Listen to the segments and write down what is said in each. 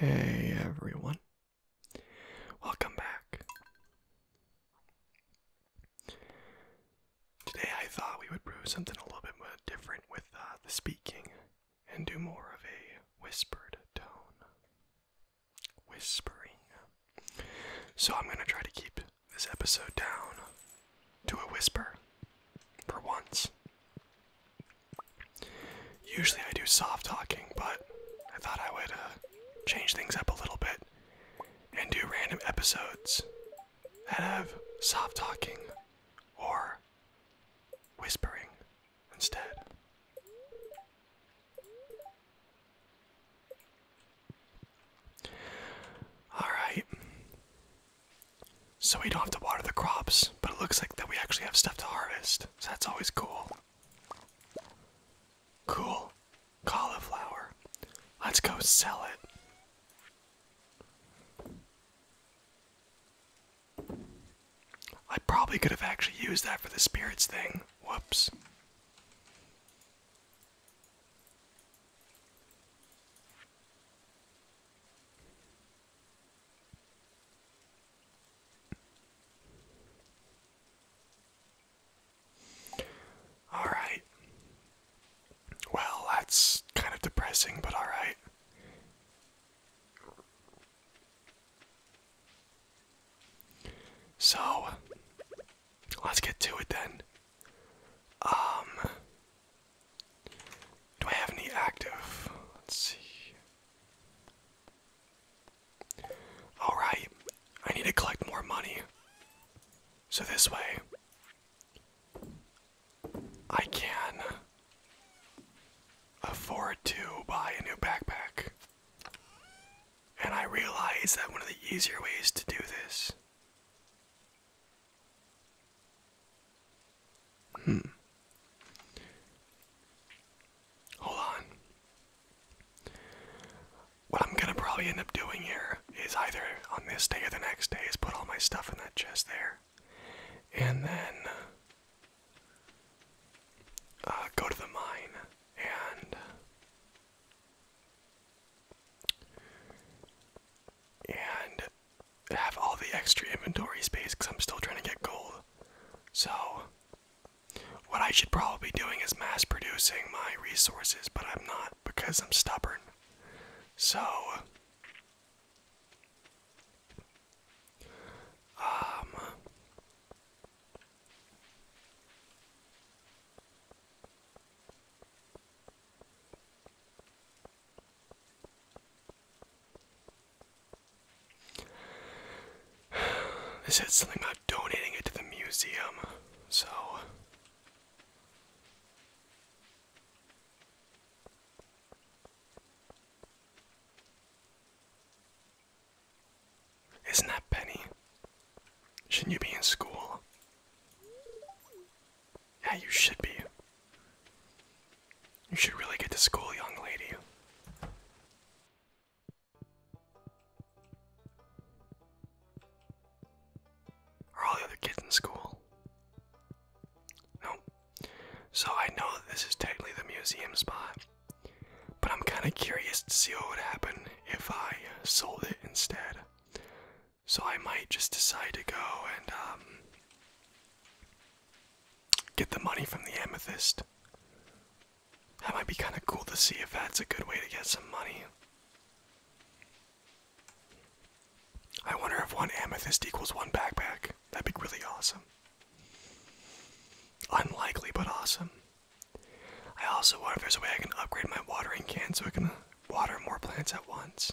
Hey everyone, welcome back. Today I thought we would brew something a little bit more different with uh, the speaking and do more of a whispered tone. Whispering. So I'm going to try to keep this episode down to a whisper for once. Usually I do soft talking, but I thought I would uh, change things up a little bit and do random episodes that have soft talking or whispering instead. Alright, so we don't have to water the crops, but it looks like that we actually have stuff to harvest. So that's always cool. Cool. Cauliflower. Let's go sell it. I probably could have actually used that for the spirits thing. Whoops. Alright. Well, that's kind of depressing, but alright. So, let's get to it then. Um, do I have any active? Let's see. Alright, I need to collect more money. So this way, I can afford to buy a new backpack. And I realize that one of the easier ways to do this Hmm. Hold on. What I'm gonna probably end up doing here is either on this day or the next day is put all my stuff in that chest there. And then uh, go to the mine and and have all the extra inventory space because I'm still trying to get gold. So, what I should probably be doing is mass producing my resources, but I'm not because I'm stubborn. So, um, they said something about donating it to the museum, so. Isn't that Penny? Shouldn't you be in school? Yeah, you should be. You should really get to school, young lady. Are all the other kids in school? No. So I know that this is technically the museum spot, but I'm kind of curious to see what would happen if I sold it instead. So I might just decide to go and um, get the money from the amethyst. That might be kind of cool to see if that's a good way to get some money. I wonder if one amethyst equals one backpack. That'd be really awesome. Unlikely, but awesome. I also wonder if there's a way I can upgrade my watering can so I can water more plants at once.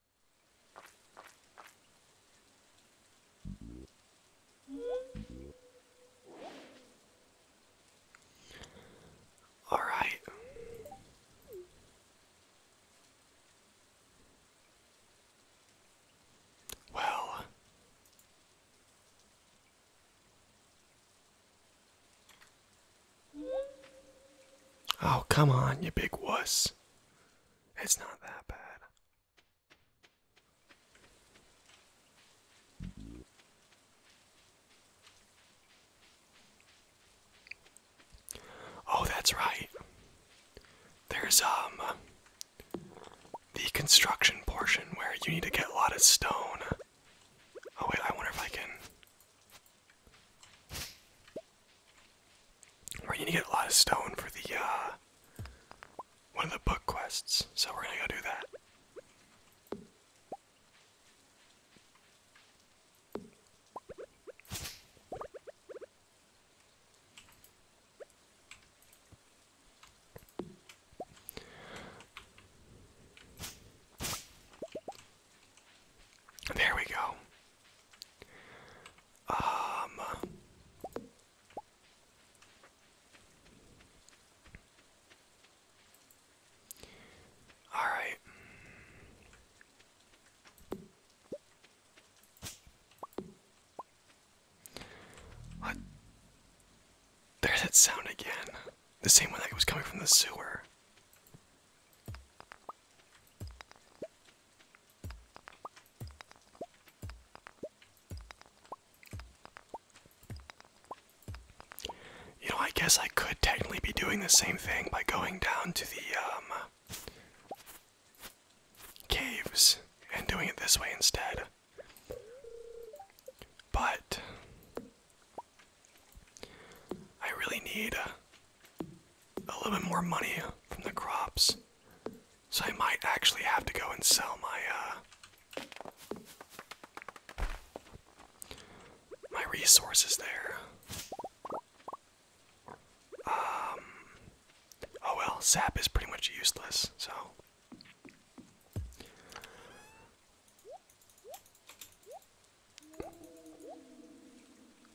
All right. Well, Oh, come on, you big wuss. It's not that bad. Oh, that's right. There's um the construction portion where you need to get a lot of stone. Oh wait, I wonder if I can we're gonna get a lot of stone for the uh, one of the book quests, so we're gonna go do that. There we go. Um All right. What? There's that sound again. The same one that was coming from the sewer. You know, I guess I could technically be doing the same thing by going down to the um, caves and doing it this way instead. But I really need a little bit more money from the crops. So I might actually have to go and sell my uh my resources there. Um oh well, sap is pretty much useless, so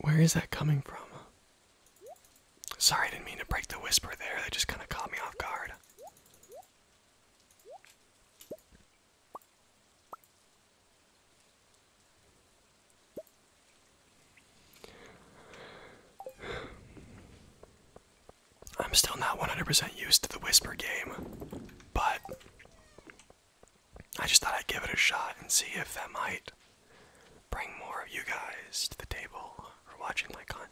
where is that coming from? Sorry, I didn't mean to break the whisper there. That just kind of caught me off guard. I'm still not 100% used to the whisper game, but I just thought I'd give it a shot and see if that might bring more of you guys to the table for watching my content.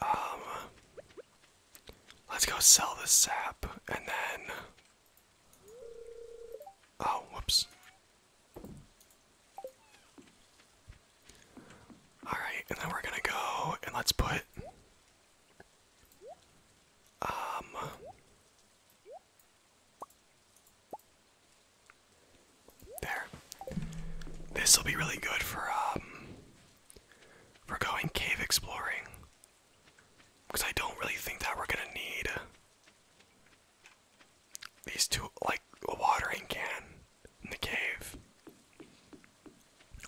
Um, let's go sell this sap and then Oh, whoops. Alright, and then we're gonna go and let's put. Um. There. This will be really good for, um. For going cave exploring. Because I don't really think that we're gonna need these two, like a watering can in the cave.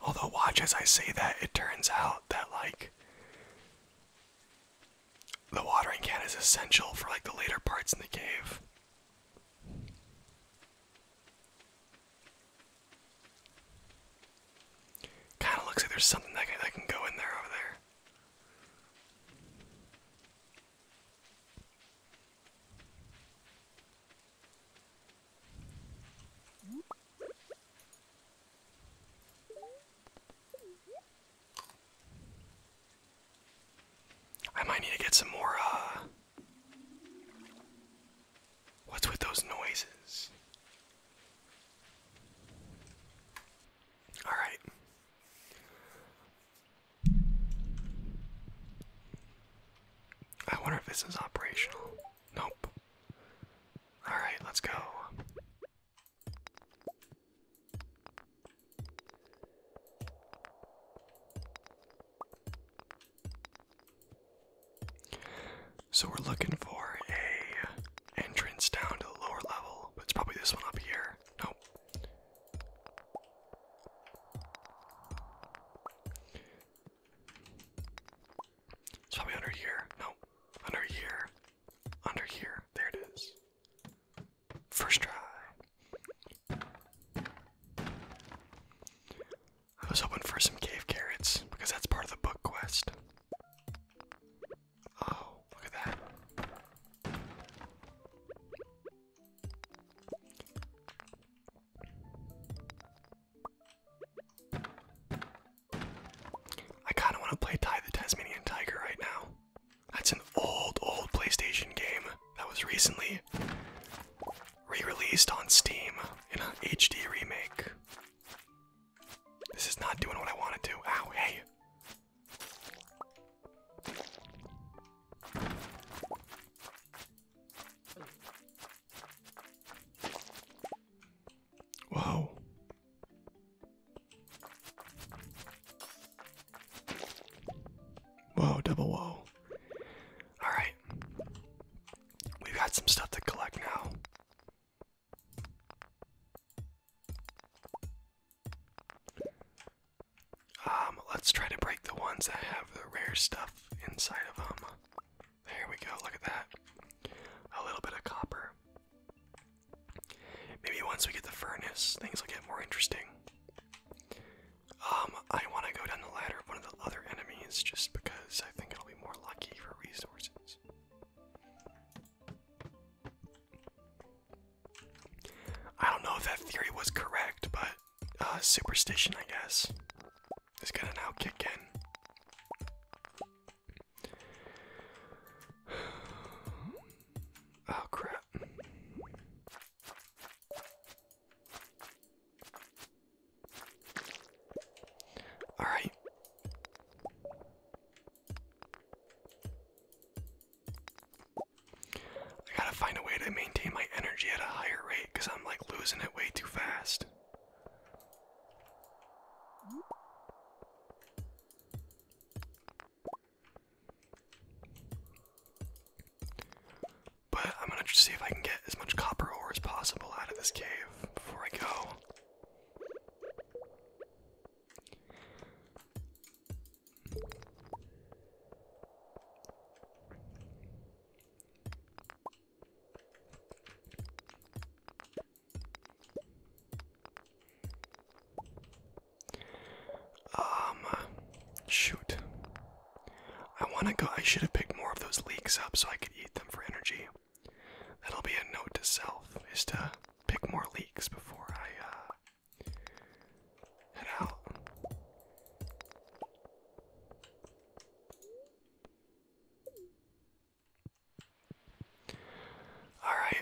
Although, watch as I say that, it turns out that, like, the watering can is essential for, like, the later parts in the cave. Kind of looks like there's something that that can go in there over there. I might need to get some more, uh, What's with those noises? All right. I wonder if this is operational. Nope. All right, let's go. So we're looking for a entrance down to the lower level it's probably this one up here. Nope. It's probably under here. No, under here. Under here. There it is. First try. I was hoping for some cave carrots because that's part of the book quest. Oh, look at that. I kind of want to play Tie the Tasmanian Tiger right now. That's an old, old PlayStation game that was recently re-released on Steam in a HD remake. This is not doing what I want it to. Ow, hey. Wow. Whoa, double whoa. Alright. We've got some stuff to collect now. Um, let's try to break the ones that have the rare stuff inside of them. There we go, look at that. A little bit of copper. Maybe once we get the furnace, things will get more interesting. Um, I want to go down the ladder of one of the other enemies just because I think it'll be more lucky for resources. I don't know if that theory was correct, but uh, superstition, I guess, is gonna now kick in. Oh crap. Alright. I gotta find a way to maintain my energy at a higher rate because I'm like losing it way too fast. But I'm gonna just see if I can get as much copper ore as possible out of this cave before I go. Um, shoot. I want to go. I should have picked more of those leeks up so I could eat them for energy. That'll be a note to self: is to pick more leaks before I uh, head out. Alright.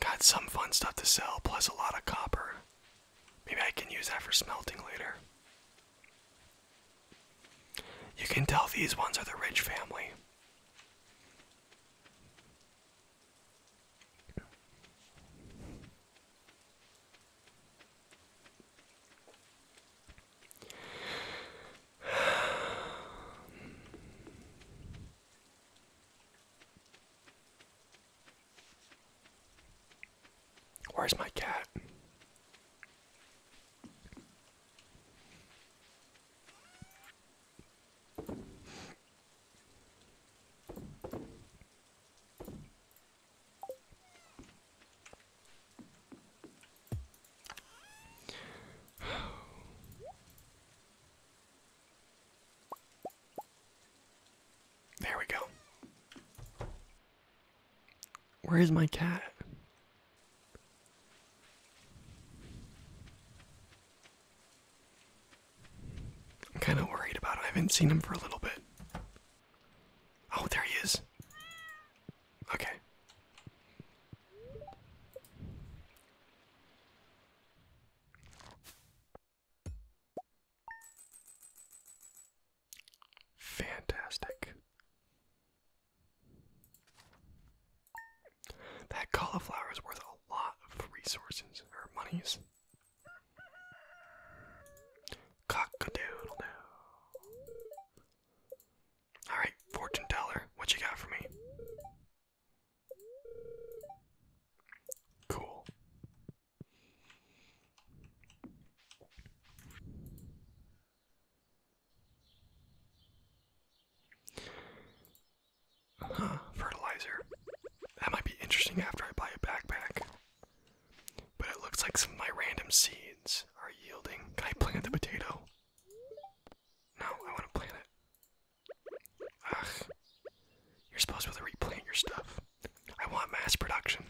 Got some fun stuff to sell, plus a lot of copper. Maybe I can use that for smelting later. You can tell these ones are the rich family. Where's my cat? There we go. Where is my cat? I'm kind of worried about him. I haven't seen him for a little bit. Oh, there he is. Okay. Fantastic. That cauliflower is worth a lot of resources or monies. cock Alright, fortune teller, what you got for me? Cool. Huh, fertilizer. That might be interesting after I buy a backpack. But it looks like some of my random seeds are yielding. Can I plant the potato? No, I want to plant it. Ugh. You're supposed to, to replant your stuff. I want mass production.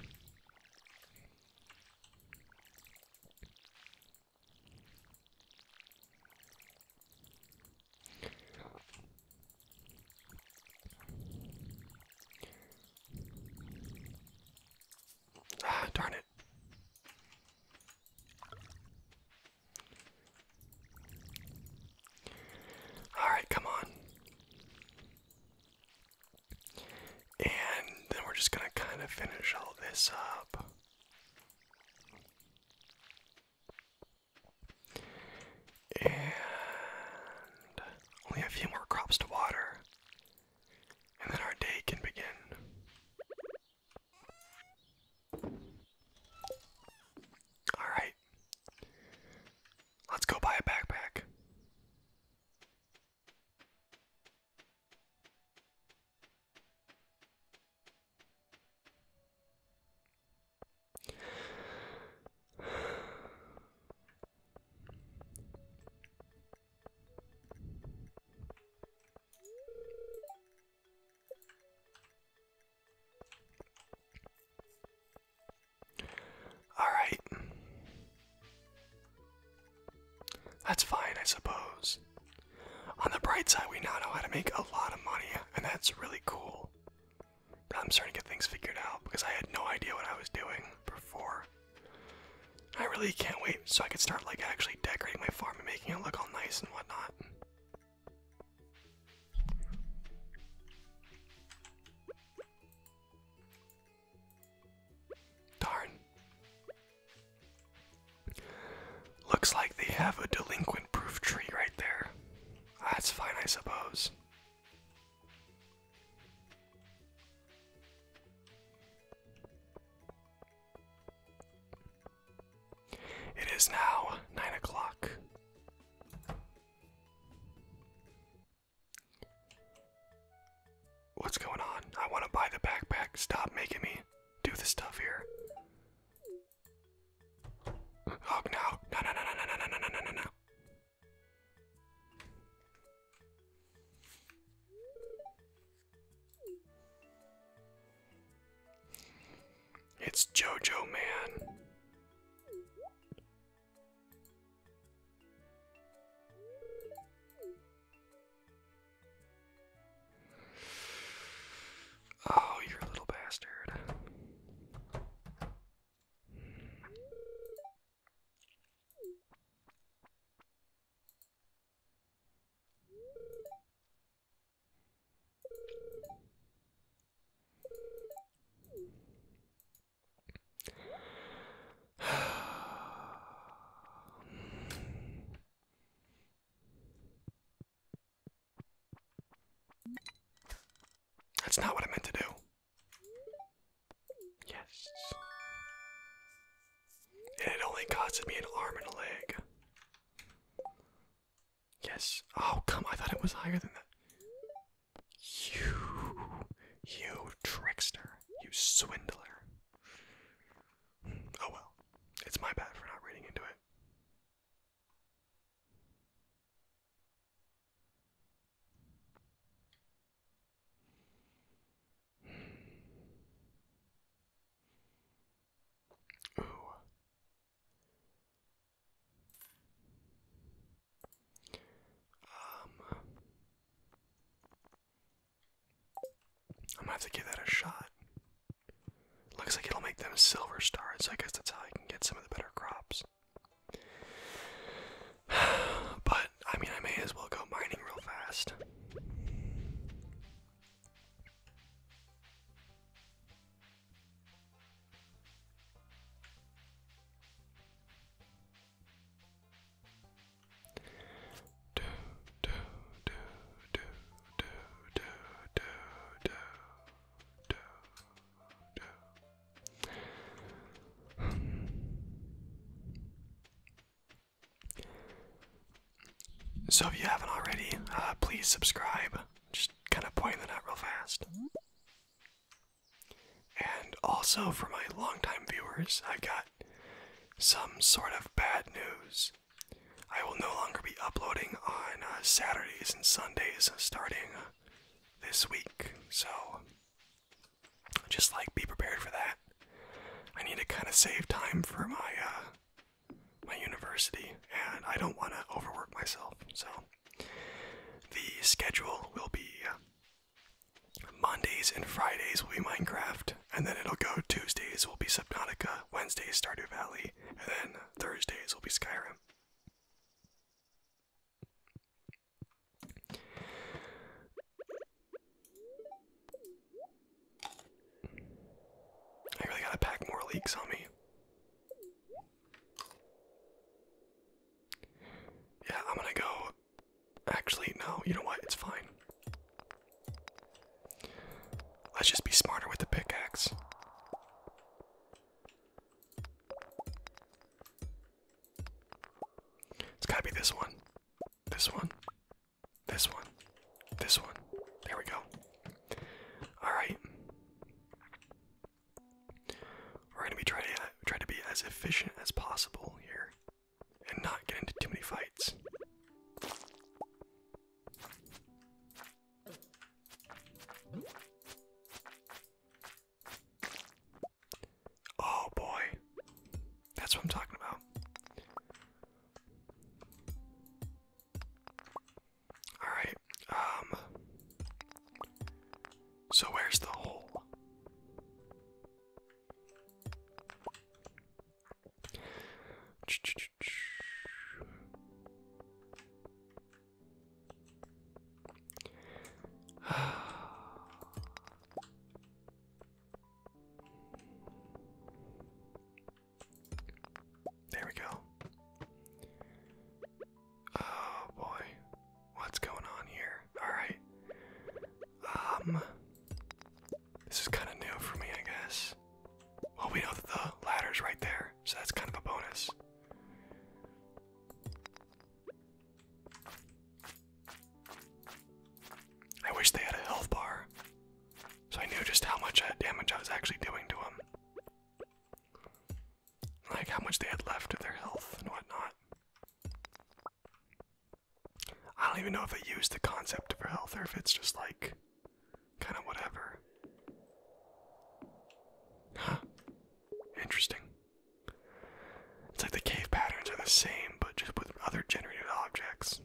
Ah, darn it. All right, come on. And then we're just going to kind of finish all this up. And only a few more crops to water. And then our day can begin. Alright. Let's go buy a backpack. All right. That's fine, I suppose. On the bright side, we now know how to make a lot of money, and that's really cool. I'm starting to get things figured out because I had no idea what I was doing before. I really can't wait so I can start like actually decorating my farm and making it look all nice and whatnot. Darn. Looks like they have a delinquent proof tree right there. That's fine, I suppose. It is now nine o'clock. What's going on? I want to buy the backpack. Stop making me do the stuff here. Oh no! No! No! No! No! No! No! No! No! No! It's JoJo Man. Oh, you're a little bastard. That's not what I meant to do. Yes. And it only costed me an arm and a leg. Yes. Oh, come, I thought it was higher than that. You. You trickster. You swindler. Hmm. Oh well. It's my bad for not reading into it. Um, I'm gonna have to give that a shot. Looks like it'll make them silver stars, so I guess that's how I can get some of the better crops. But, I mean, I may as well go mining real fast. Do, do, do, do, so if you haven't already, uh, please subscribe. Just kind of pointing that out real fast. And also for my longtime viewers, I got some sort of bad news. I will no longer be uploading on uh, Saturdays and Sundays uh, starting uh, this week, so just like be prepared for that. I need to kind of save time for my my university, and I don't want to overwork myself, so the schedule will be. Mondays and Fridays will be Minecraft, and then it'll go Tuesdays will be Subnautica, Wednesdays Stardew Valley, and then Thursdays will be Skyrim. I really gotta pack more leaks on me. Yeah, I'm gonna go. Actually, no, you know what? It's fine. Let's just be smarter with the pickaxe. It's gotta be this one. This one. This one. This one. There we go. Alright. We're gonna be trying to try to be as efficient as possible here. And not get into too many fights. Oh boy. That's what I'm talking about. Alright, um. So where's the hole? There we go. Oh boy. What's going on here? Alright. Um this is kinda new for me I guess. Well we know that the ladder's right there so that's kind of a bonus. I wish they had a health bar, so I knew just how much uh, damage I was actually doing to them. Like how much they had left of their health and whatnot. I don't even know if they use the concept of health or if it's just like Kind of whatever. Interesting. It's like the cave patterns are the same, but just with other generated objects.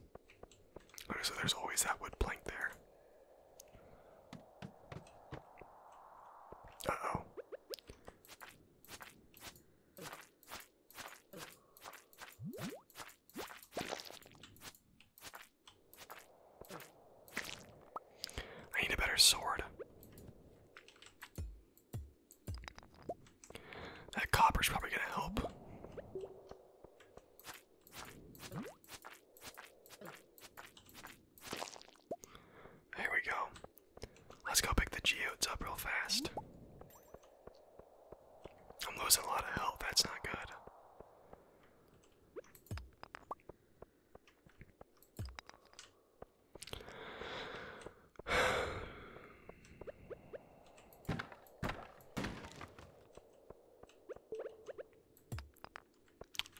So there's always that wood plank there. oh. I need a better sword. That copper's probably gonna help. There we go. Let's go pick the geodes up real fast. I'm losing a lot of health, that's not good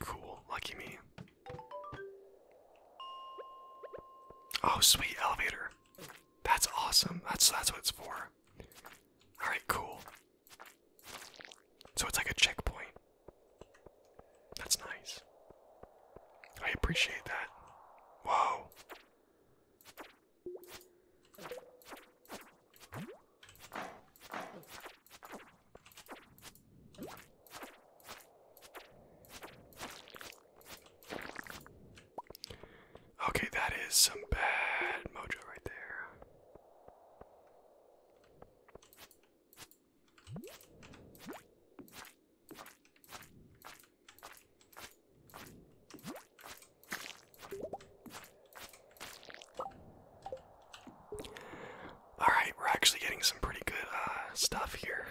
cool, lucky me. Oh, sweet elevator. That's awesome. That's that's what it's for. All right, cool. So it's like a checkpoint. That's nice. I appreciate that. Whoa. Okay, that is some bad mojo right there. All right, we're actually getting some pretty good uh, stuff here.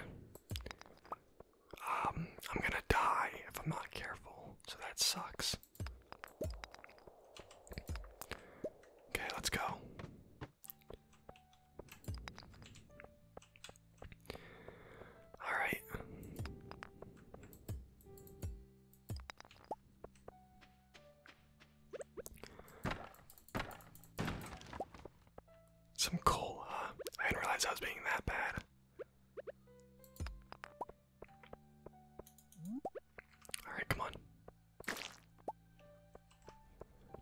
Um, I'm gonna die if I'm not careful, so that sucks. Okay, let's go. All right. Some coal, huh? I didn't realize I was being that bad. Alright, come on.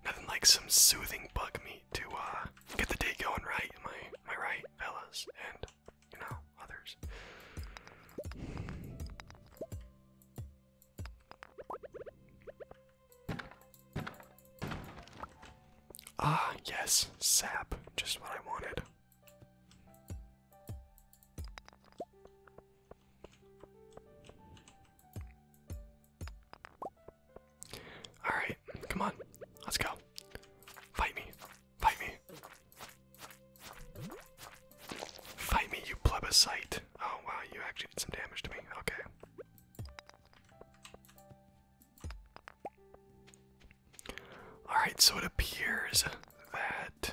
Nothing like some soothing bug meat to uh, get the day going right, am I, right, fellas? And, you know, others. Ah, yes, sap. Just what I wanted. Alright, come on. Let's go. Fight me. Fight me. Fight me, you plebiscite. Oh wow, you actually did some damage to me. Okay. Alright, so it appears that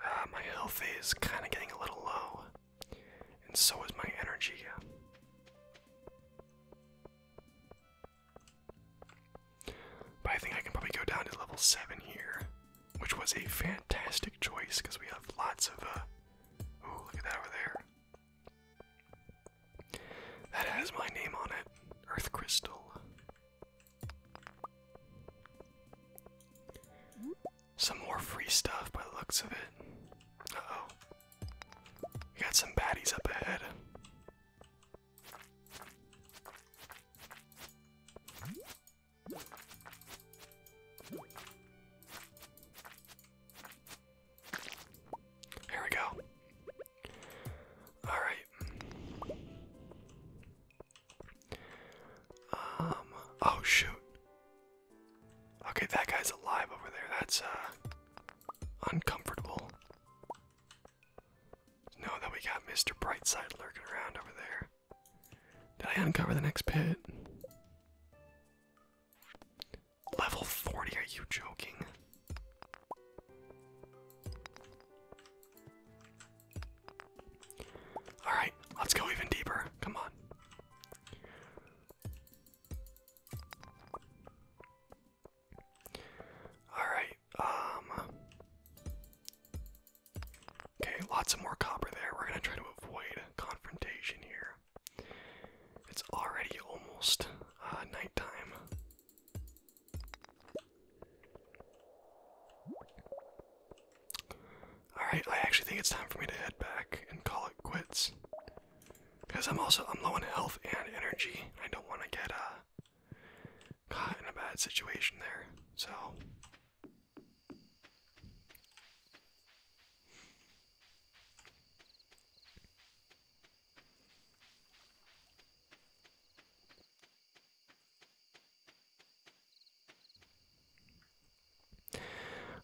uh, my health is kind of getting a little low, and so is my energy. But I think I can probably go down to level 7 here, which was a fantastic choice because we have lots of. Uh, look at that over there. That has my name on it Earth Crystal. Some more free stuff by the looks of it. Uh oh. We got some baddies up ahead. Here we go. All right. Um, oh shoot. Okay, that guy's alive over there. That's uh, uncomfortable. No, that we got Mr. Brightside lurking around over there. Did I uncover the next pit? Level 40, are you joking? Alright, let's go even deeper. Come on. Alright, um. Okay, lots of more copper there. We're gonna try to avoid confrontation here. It's already almost uh, nighttime. Alright, I actually think it's time for me to head back and call it quits. Because I'm also I'm low on health and energy. I don't want to get uh, caught in a bad situation there. So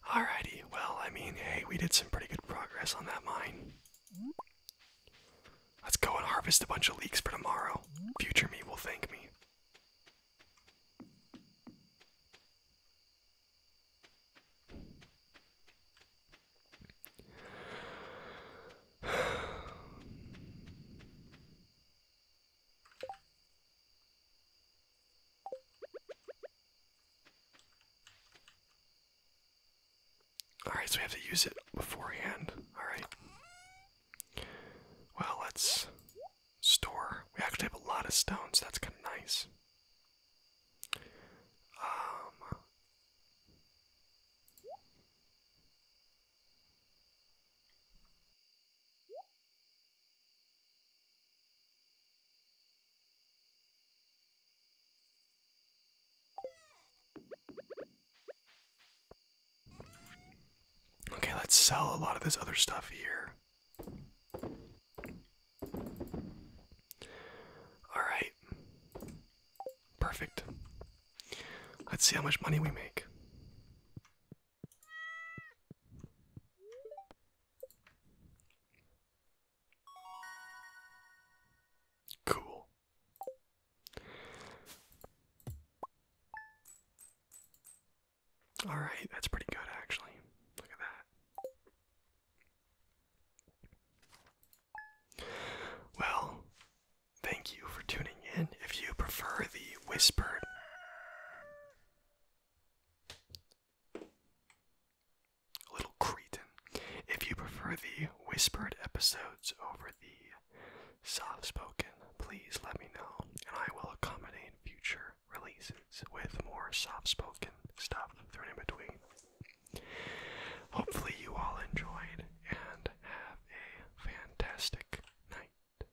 Alrighty, well, I mean, hey, we did some pretty good progress on that mine. Let's go and harvest a bunch of leeks for tomorrow. Future me will thank me. Alright, so we have to use it beforehand. Alright. Well, let's store. We actually have a lot of stones, that's kind of nice. Um. Okay, let's sell a lot of this other stuff here. Alright. Perfect. Let's see how much money we make. Cool. All right, that's pretty good actually. Look at that. Well, thank you for tuning in. If you prefer the whispered little cretin. If you prefer the whispered episodes over the soft spoken, please let me know, and I will accommodate future releases with more soft spoken stuff thrown in between. Hopefully, you all enjoyed and have a fantastic night.